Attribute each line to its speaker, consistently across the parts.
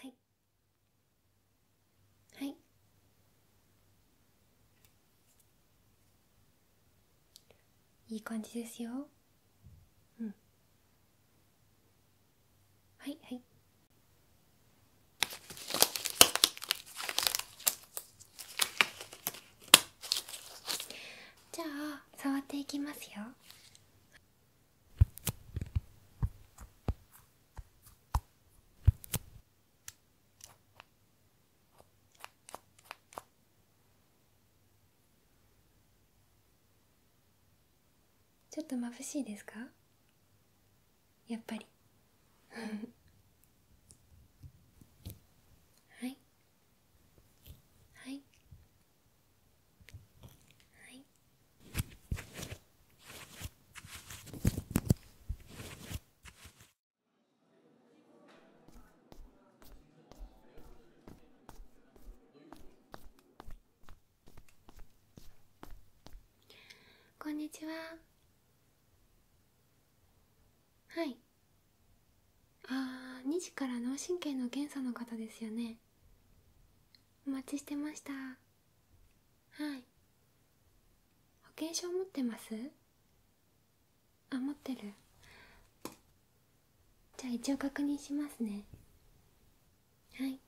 Speaker 1: はいはいいい感じですようんはいはいじゃあ触っていきますよちょっと眩しいですかやっぱりはいはいはいこんにちははいああ2時から脳神経の検査の方ですよねお待ちしてましたはい保険証持ってますあ持ってるじゃあ一応確認しますねはい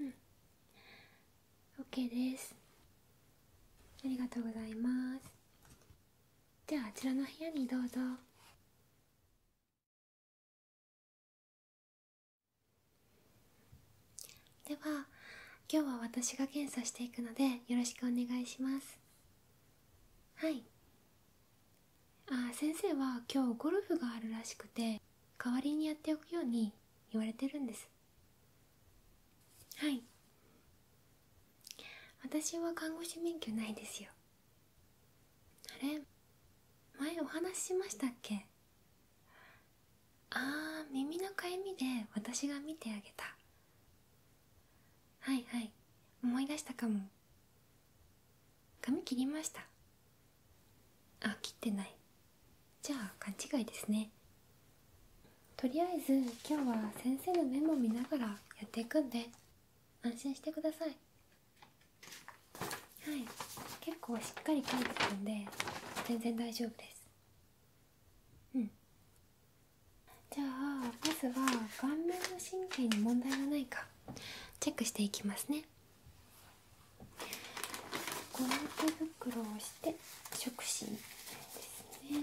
Speaker 1: うん OK ですありがとうございますではあちらの部屋にどうぞでは今日は私が検査していくのでよろしくお願いしますはいあ先生は今日ゴルフがあるらしくて代わりにやっておくように言われてるんですはい私は看護師免許ないですよあれ前お話ししましたっけあー耳のかゆみで私が見てあげたはいはい思い出したかも髪切りましたあ切ってないじゃあ勘違いですねとりあえず今日は先生のメモ見ながらやっていくんで安心してくださいはい結構しっかり書いてるんで全然大丈夫ですうんじゃあまずは顔面の神経に問題がないかチェックしていきますねゴム手袋をして触診ですね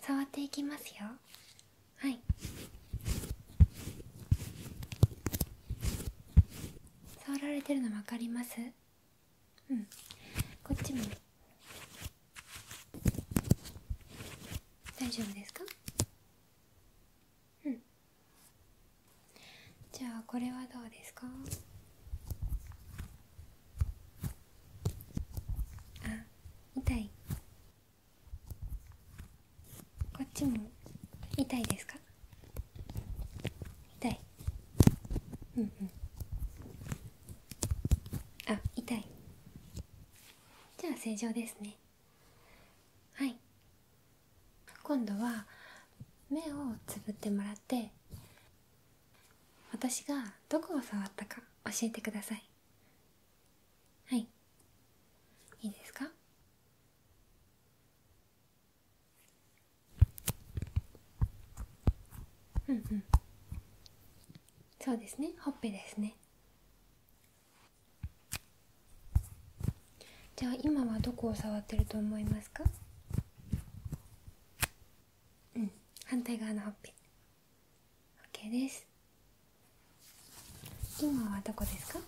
Speaker 1: 触っていきますよはい触られてるの分かりますうんこっちも大丈夫ですかうんじゃあこれはどうですかあ痛いこっちも痛いですか痛いうんうんあ痛いじゃあ正常ですねはい今度は目をつぶってもらって私がどこを触ったか教えてくださいはいいいですかうんうんそうですねほっぺですねじゃあ今はどこを触ってると思いますかうん反対側のほっぺ OK です今はどこですか、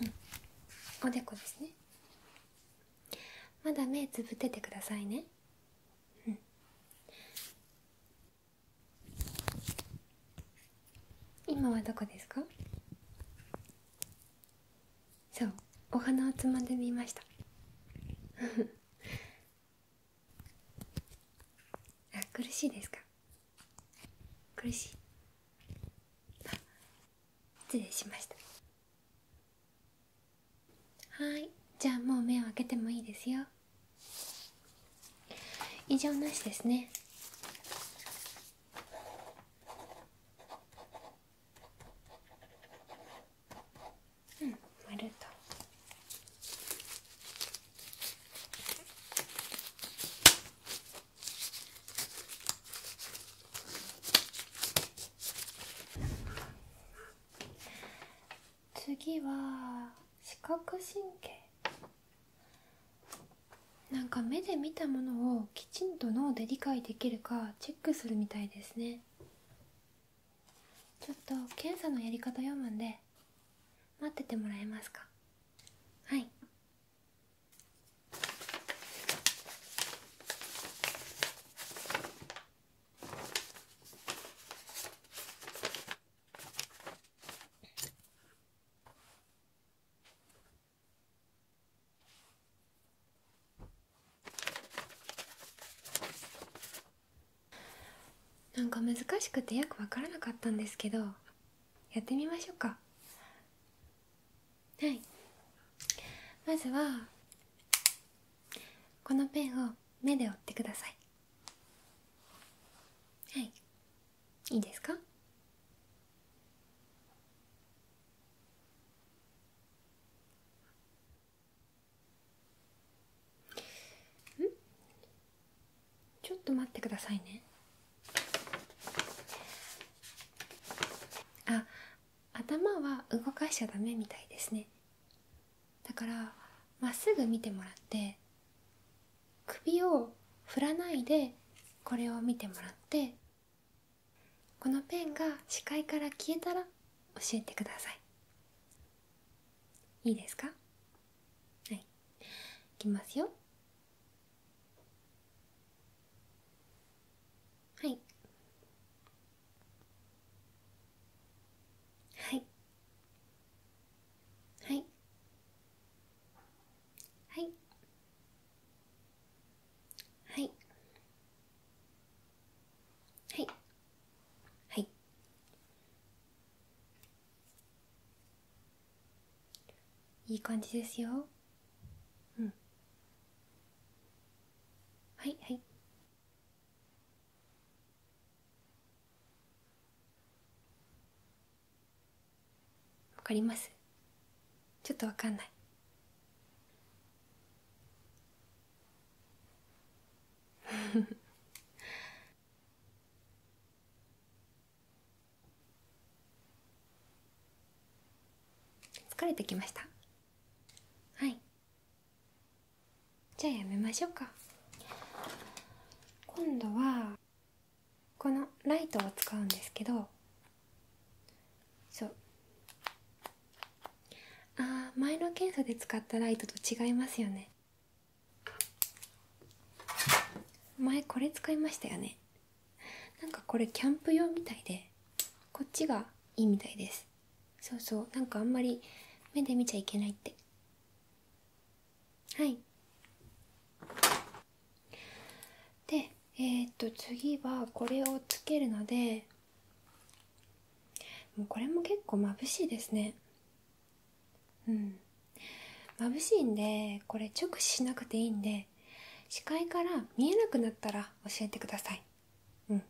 Speaker 1: うん、おでこですねまだ目つぶっててくださいねうん今はどこですかそうお花をつまんでみましたあ苦しいですか苦しい失礼しましたはいじゃあもう目を開けてもいいですよ異常なしですねうん丸と次は視覚神経なんか目で見たものをきちんと脳で理解できるかチェックするみたいですねちょっと検査のやり方読むんで待っててもらえますかはいなんか難しくてよく分からなかったんですけどやってみましょうかはいまずはこのペンを目で折ってくださいはいいいですかん。ちょっと待ってくださいねあ頭は動かしちゃダメみたいですねだからまっすぐ見てもらって首を振らないでこれを見てもらってこのペンが視界から消えたら教えてくださいいいですかはいいきますよはいはいはいはいはいはいはいいい感じですようんはいはいわかりますちょっとわかんない 疲れてきましたはいじゃあやめましょうか今度はこのライトを使うんですけどそうあー前の検査で使ったライトと違いますよね前これ使いましたよねなんかこれキャンプ用みたいでこっちがいいみたいですそうそうなんかあんまり目で見ちゃいけないってはいでえっと次はこれをつけるのでもうこれも結構眩しいですねうん眩しいんでこれ直視しなくていいんで視界から見えなくなったら教えてくださいうん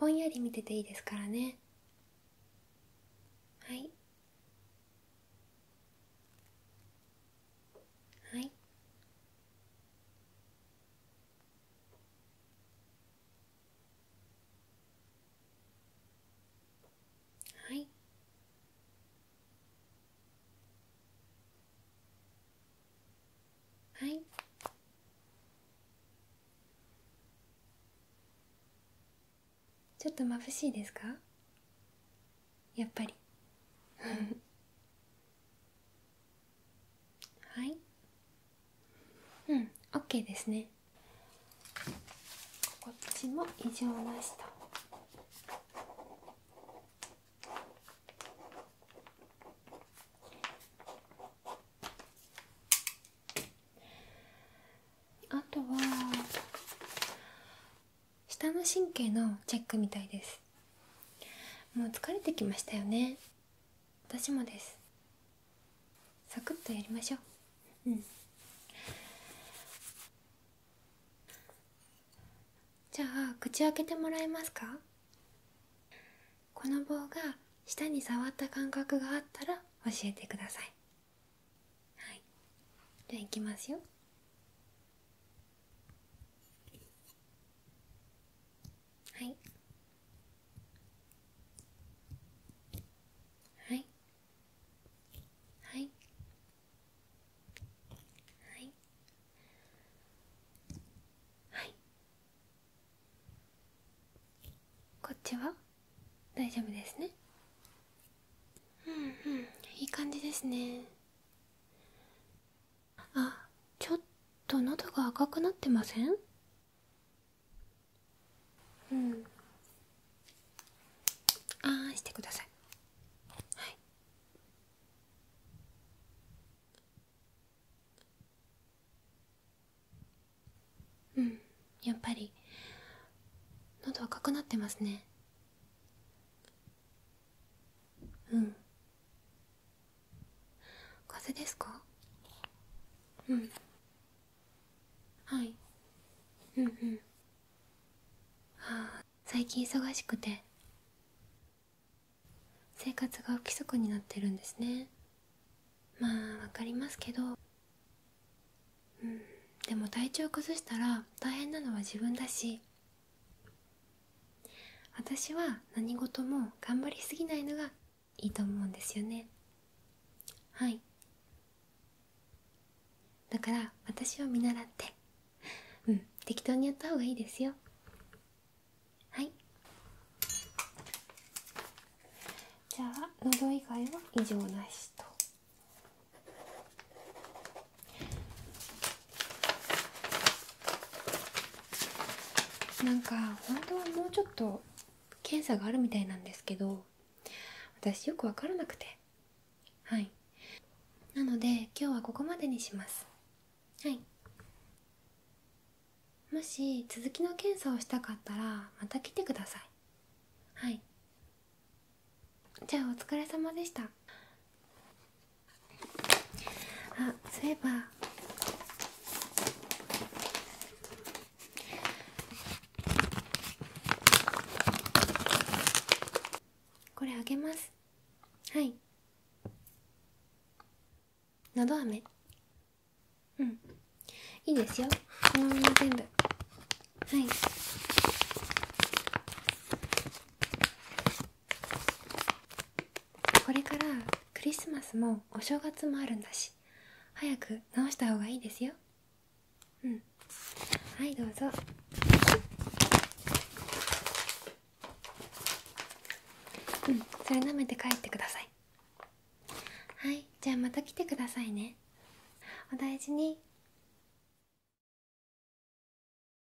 Speaker 1: ぼんやり見てていいですからねはいはいはいはいちょっと眩しいですかやっぱりはいうん OK ですねこっちも異常なしとあとは下の神経のチェックみたいですもう疲れてきましたよね私もですサクッとやりましょうじゃあ口開けてもらえますかこの棒が舌に触った感覚があったら教えてくださいじゃあいきますよはいはいはいはいはいこっちは大丈夫ですねうんうんいい感じですねあちょっと喉が赤くなってませんうんああしてくださいはいうんやっぱり喉赤くなってますねうん風邪ですかうんはいうんうんああ最近忙しくて生活が不規則になってるんですねまあわかりますけどうんでも体調崩したら大変なのは自分だし私は何事も頑張りすぎないのがいいと思うんですよねはいだから私を見習ってうん適当にやった方がいいですよはいじゃあ喉以外は異常なしとなんか本当はもうちょっと検査があるみたいなんですけど私よく分からなくてはいなので今日はここまでにしますはいもし続きの検査をしたかったらまた来てくださいはいじゃあお疲れ様でしたあそういえばこれあげますはいのど飴うんいいですよこのまま全部はいこれからクリスマスもお正月もあるんだし早く直したほうがいいですようんはいどうぞうんそれ舐めて帰ってくださいはいじゃあまた来てくださいねお大事に